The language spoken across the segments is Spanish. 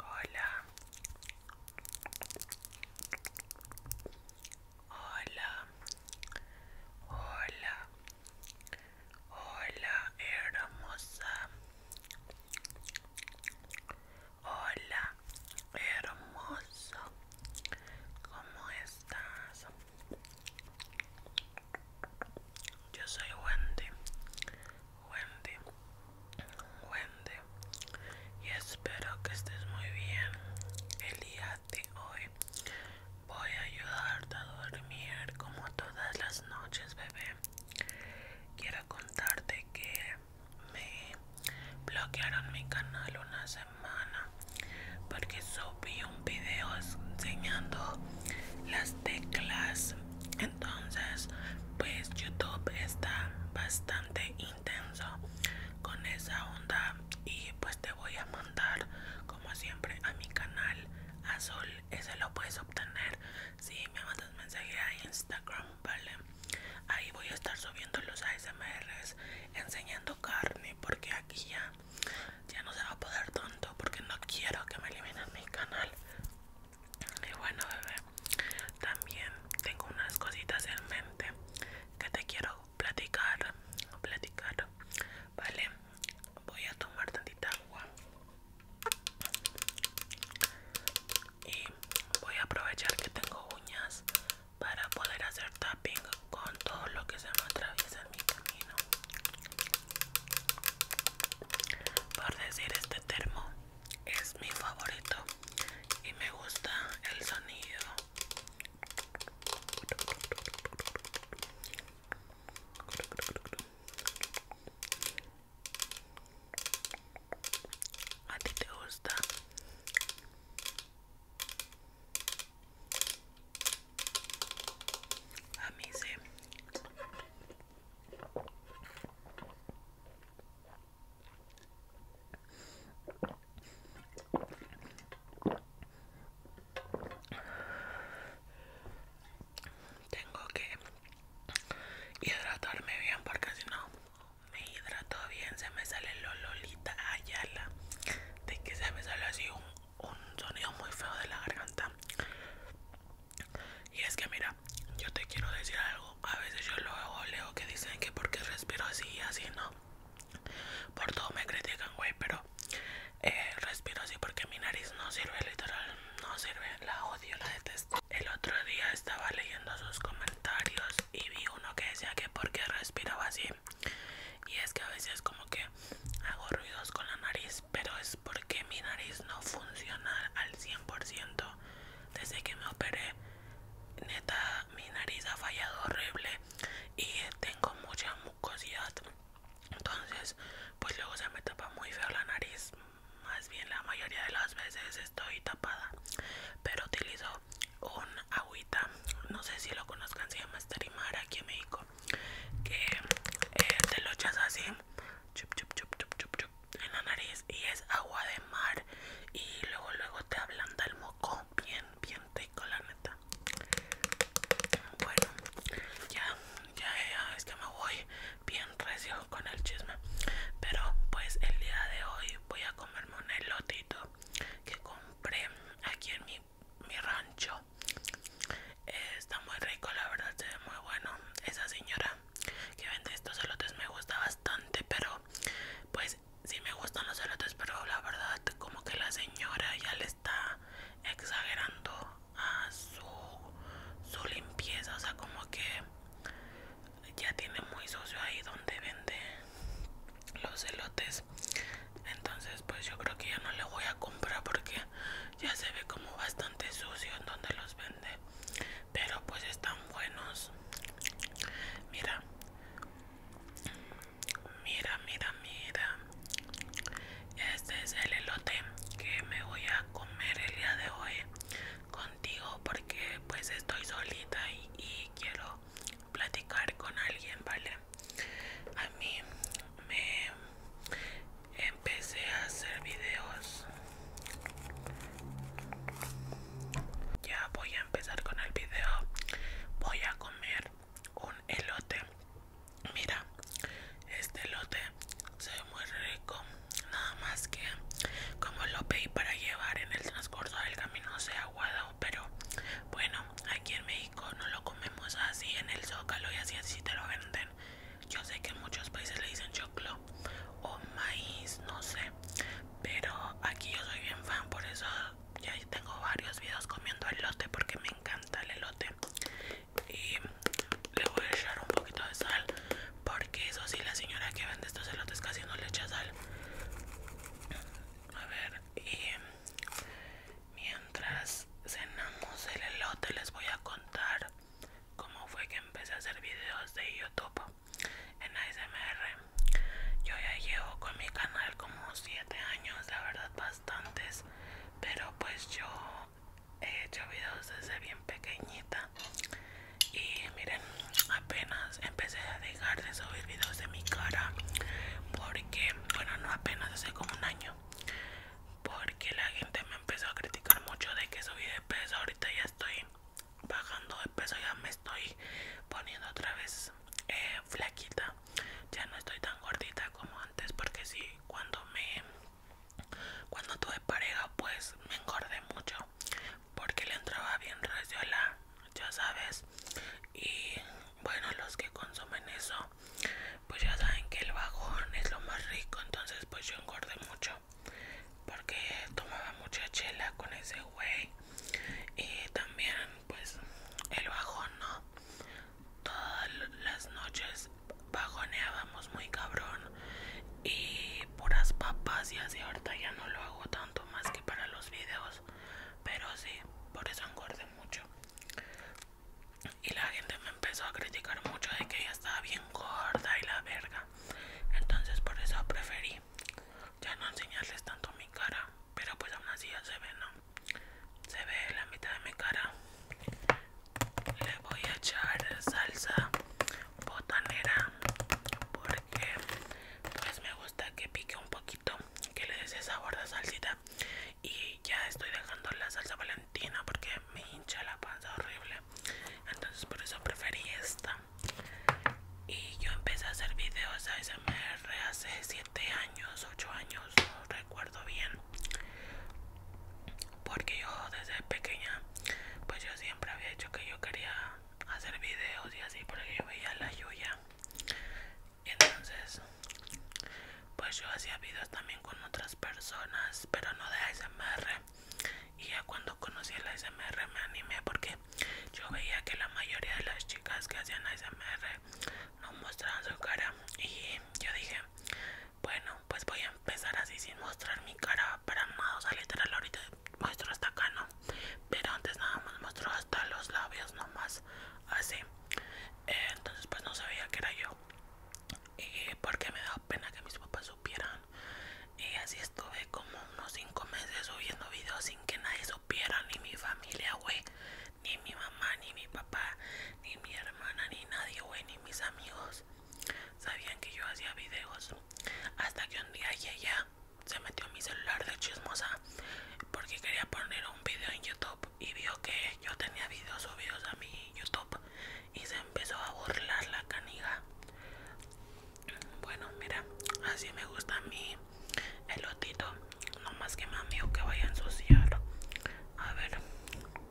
Hola. Hola. Hola. Hola, hermosa. Hola, hermoso. ¿Cómo estás? Yo soy Wendy. Wendy. Wendy. Y espero que estés muy bien. El día de hoy voy a ayudarte a dormir como todas las noches, bebé. Quiero contarte que me bloquearon mi canal una semana porque subí un video enseñando las teclas entonces pues youtube está bastante intenso con esa onda y pues te voy a mandar como siempre a mi canal azul ese lo puedes obtener si me mandas mensaje a instagram vale ahí voy a estar subiendo los ASMRs enseñando carne porque aquí ya ya no se va a poder tanto porque no quiero que me eliminen mi canal y bueno bebé también tengo unas cositas en mente que te quiero platicar platicar vale voy a tomar tantita agua y voy a aprovechar que tengo uñas para poder hacer tapping con todo lo que se me atraviesa en mi camino por decir este termo es mi favorito y me gusta el sonido a ti te gusta a mí tengo que hidratarme bien porque si no me hidrato bien se me sale lo lolita ayala de que se me sale así un, sonido muy feo de la garganta y es que mira yo te quiero decir algo a veces yo leo que dicen que porque respiro así y así no por todo me critican güey pero eh, respiro así porque mi nariz no sirve literal no sirve, la odio, la detesto. El otro día estaba leyendo sus comentarios y vi uno que decía que porque respiraba así. Y es que a veces como que hago ruidos con la nariz, pero es porque mi nariz no funciona al 100%. Desde que me operé, neta, mi nariz ha fallado horrible y tengo mucha mucosidad. Entonces, pues luego se me tapa muy feo la nariz, más bien la mayoría de las veces estoy tapada pero utilizo un agüita no sé si lo conozcan se llama esterimar aquí en México que eh, te lo echas así chup, chup, chup, chup, chup, en la nariz y es agua de mar y luego luego te ablanda el moco bien bien rico la neta bueno ya ya, ya es que me voy bien recio con el chisme pero pues el día de hoy voy a comerme un elotito que compré aquí en mi, mi rancho eh, está muy rico la verdad se ve muy bueno esa señora que vende estos elotes me gusta bastante pero pues Si me gustan los elotes pero la verdad como que la señora ya le está exagerando a su, su limpieza, o sea, como que ya tiene muy sucio ahí donde vende los elotes. Entonces, pues yo creo que ya no le voy a comprar porque ya se ve como bastante sucio en donde los vende. Pero pues están buenos. Mira. Mira, mira, mira. Este es el elote que me voy a comer el día de hoy contigo porque pues estoy solita y, quiero platicar con alguien, ¿vale? A mí me empecé a hacer videos. Ya voy a empezar con el video. Voy a comer un elote. Mira, este lote se ve muy rico, nada más que como lo pedí para llevar en el transcurso del camino se aguado, pero bueno, aquí en México no lo comemos así en el zócalo y así así te lo venden. Yo sé que en muchos países le dicen choclo o maíz, no sé, pero aquí yo soy bien fan, por eso ya tengo varios videos comiendo elote porque me encanta el elote y le voy a echar un poquito de sal porque eso sí la señora que vende estos elotes casi no le echa sal a ver y mientras cenamos el elote les voy a contar cómo fue que empecé a hacer videos de youtube en ASMR yo ya llevo con mi canal como 7 años la verdad bastantes pero pues yo he hecho videos desde bien pequeñita y miren apenas empecé a dejar de subir videos de mi cara porque bueno no apenas hace como un año porque la gente me empezó a criticar mucho de que subí de peso ahorita ya estoy bajando de peso ya me estoy poniendo otra vez eh, flaquita ya no estoy tan gordita como antes porque si cuando me cuando tuve pareja, pues me engordé mucho porque le entraba bien la, ya sabes. Y bueno, los que consumen eso, pues ya saben que el bajón es lo más rico. Entonces, pues yo engordé mucho porque tomaba mucha chela con ese güey. Y también, pues el bajón, ¿no? todas las noches bajoneábamos muy cabrón y puras papas y así ahorita ya no lo hago tanto más que para los videos pero sí por eso engordé mucho y la gente me empezó a criticar mucho de que ella estaba bien gorda y la verga entonces por eso preferí ya no enseñarles tanto mi cara pero pues aún así ya se ve no se ve la mitad de mi cara le voy a echar salsa botanera porque pues me gusta que pique un poquito que le des ese sabor de salsita y ya estoy dejando la salsa valentina porque me hincha la panza horrible entonces por eso preferí esta y yo empecé a hacer videos SMR hace 7 años 8 años no recuerdo bien porque yo desde pequeña pues yo siempre había hecho que yo quería hacer videos y así porque yo veía la lluvia. entonces pues yo hacía videos también con otras personas pero no de ASMR y ya cuando conocí el ASMR me animé porque yo veía que la mayoría de las chicas que hacían ASMR no mostraban su cara y yo dije bueno, pues voy a empezar así sin mostrar mi cara para no, o sea, literal ahorita muestro hasta acá, ¿no? Pero antes nada más muestro hasta los labios nomás, así. Eh, entonces pues no sabía que era yo. Y porque me da pena que mis papás supieran. Y así estuve como unos 5 meses subiendo videos sin que nadie supiera, ni mi familia, güey ni mi mamá, ni mi papá, ni mi hermana, ni nadie, ni mis amigos sabían que yo hacía videos. Hasta que un día ella se metió mi celular de chismosa porque quería poner un video en YouTube y vio que yo tenía videos subidos a mi YouTube y se empezó a burlar la caniga. Bueno, mira, así me gusta mi elotito. No más que mami, o que vaya a ensuciar. A ver.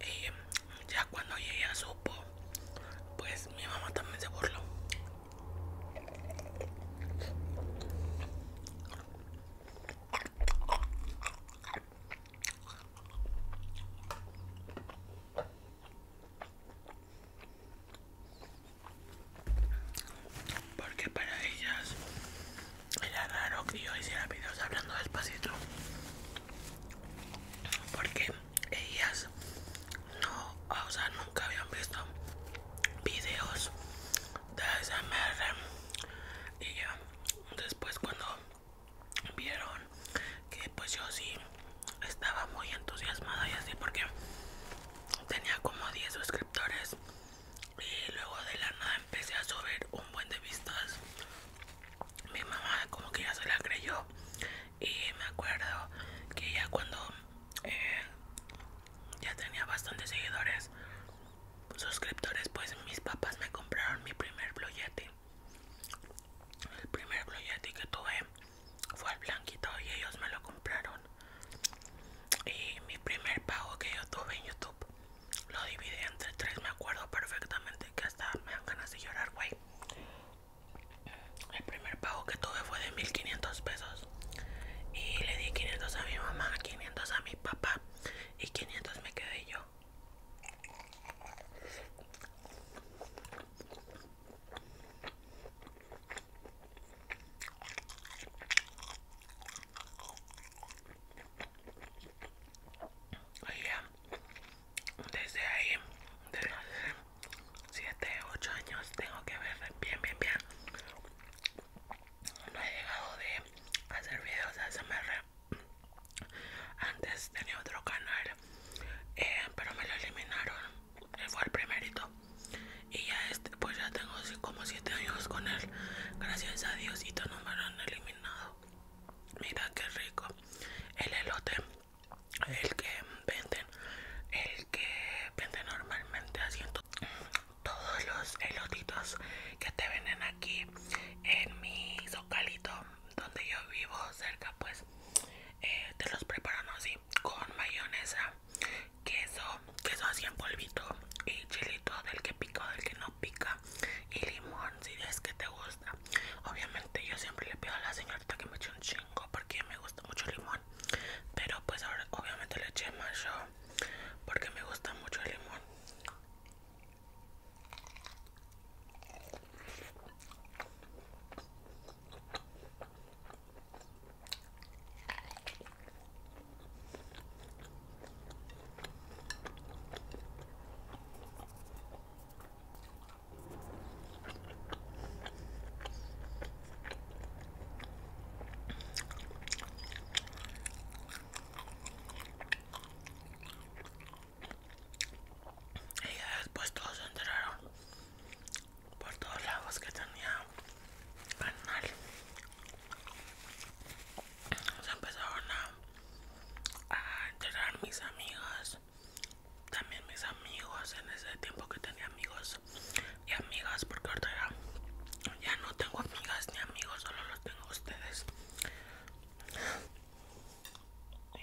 y eh, ya cuando ella supo, pues mi mamá también se burló porque para ellas era raro que yo hiciera videos hablando despacito porque ellas no o sea nunca habían visto videos de mierda y ya después cuando vieron que pues yo sí estaba muy entusiasmada y así porque tenía como 10 suscriptores y luego de la nada empecé a subir un buen de vistas mi mamá como que ya se la creyó y me acuerdo que ya cuando eh, ya tenía bastantes seguidores suscriptores pues mis papás me compraron mi primer Blue el primer Blue que tuve fue al blanquito y ellos me lo compraron. Y mi primer pago que yo tuve en YouTube lo dividí entre tres. Me acuerdo perfectamente que hasta me dan ganas de llorar, güey. El primer pago que tuve fue de 1500 pesos. Y le di 500 a mi mamá, 500 a mi papá y 500 me quedé yo desde ahí, desde hace 7, 8 años, tengo que ver bien, bien, bien. No he llegado de hacer videos de ASMR. Antes tenía otro canal eh, pero me lo eliminaron. fue el primerito. Y ya este, pues ya tengo como 7 años con él. Gracias a Dios y no me lo han eliminado. Mira qué rico. El elote, el que venden, el que venden normalmente haciendo todos los elotitos que te venden aquí en mi localito donde yo vivo cerca pues eh, te los preparan así con mayonesa, queso, queso así en polvito y chilito del que pica o del que no pica y limón si es que te gusta. Obviamente yo siempre le pido a la señorita que me eche un chingo porque me gusta mucho el limón, pero pues ahora obviamente le eché más yo porque me gusta mucho el limón. Y ya después todos se enteraron por todos lados que tenía canal se empezaron a, a enterar mis amigas también mis amigos en ese tiempo que tenía amigos y amigas porque ahora ya, no tengo amigas ni amigos solo los tengo ustedes y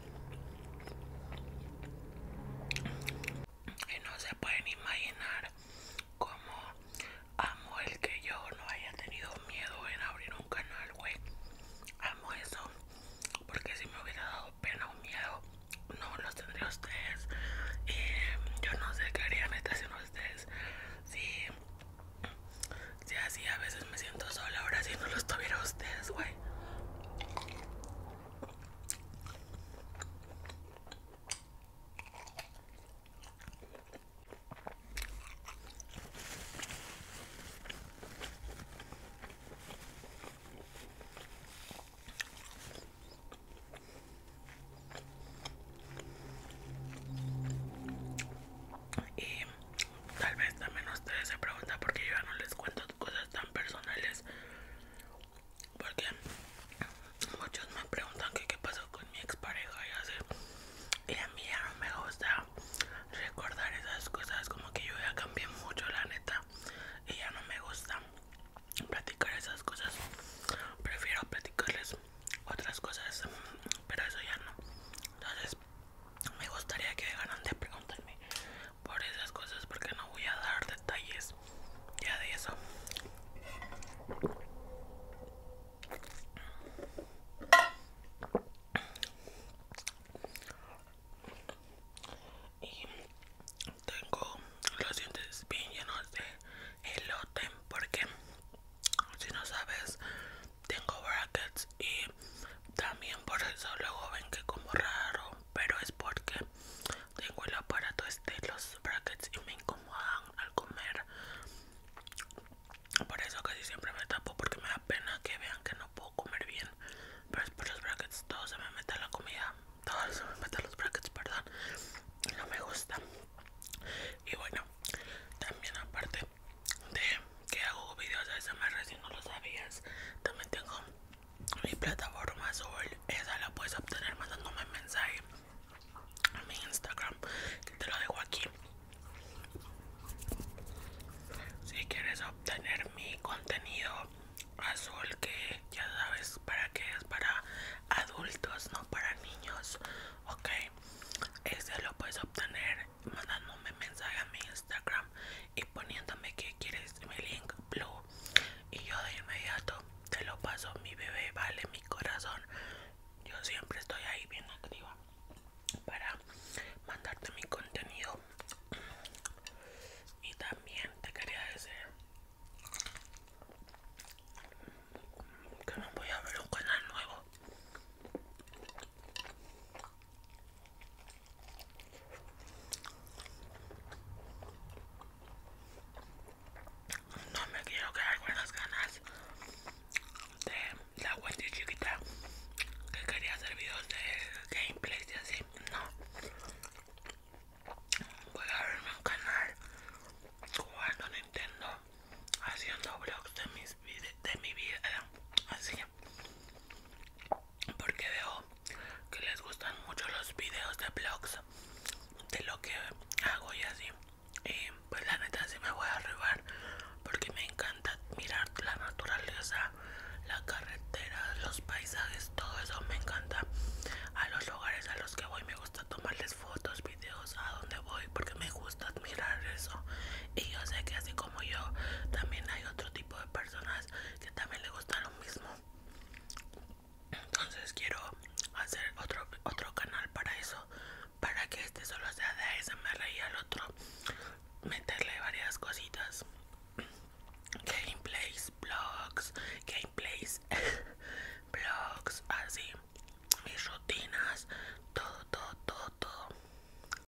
Y no se pueden imaginar cómo amo el que yo no haya tenido miedo en abrir un canal, güey. Amo eso. Porque si me hubiera dado pena o miedo, no los tendría ustedes. Y mm, yo no sé qué harían ustedes. Si, si así a veces me siento sola, ahora si no los tuviera ustedes, güey. Y tal vez también ustedes se preguntan porque yo ya no les cuento cosas tan personales porque muchos me preguntan que qué pasó con mi expareja y así y a mí ya no me gusta recordar esas cosas como que yo ya cambié mucho la neta y ya no me gusta platicar esas cosas prefiero platicarles otras cosas pero eso ya no entonces me gustaría que dejaran de preguntarme por esas cosas porque no voy a dar detalles ya de eso y tengo los dientes bien llenos de elote porque si no sabes tengo brackets y también por eso luego ven que como raro, pero es porque tengo el aparato este, los brackets y me incomodan al comer. Por eso casi siempre me tapo porque me da pena que vean que no puedo comer bien. Pero es por los brackets, todo se me mete la comida, todo se me mete los brackets, perdón. no me gusta. Y bueno, también aparte de que hago videos de más recién no lo sabías, también tengo mi plataforma azul esa la puedes obtener mandándome mensaje a mi instagram que te lo dejo aquí si quieres obtener mi contenido azul que ya sabes para que es para adultos no para niños ok ese lo puedes obtener mandándome mensaje a mi Instagram y poniéndome que quieres mi link blue y yo de inmediato te lo paso mi bebé vale mi corazón yo siempre estoy ahí bien activa para mandarte mi contenido y también te quería decir que no voy a ver un canal nuevo no me quiero quedar con las ganas de la de chiquita que quería hacer videos de gameplays y así. No. Voy a abrirme un canal cuando Nintendo, haciendo vlogs de, mis de mi vida. Así porque veo que les gustan mucho los videos de vlogs de lo que hago y así y pues la neta si me voy a arribar porque me encanta mirar la naturaleza la carretera los paisajes todo eso me encanta a los lugares a los que voy me gusta tomarles fotos videos a donde voy porque me gusta admirar eso y yo sé que así como yo también hay otro tipo de personas que también le gusta lo mismo entonces quiero hacer otro otro canal para eso para que este solo sea de me y al otro meterle varias cositas gameplays blogs gameplays blogs así mis rutinas todo todo todo todo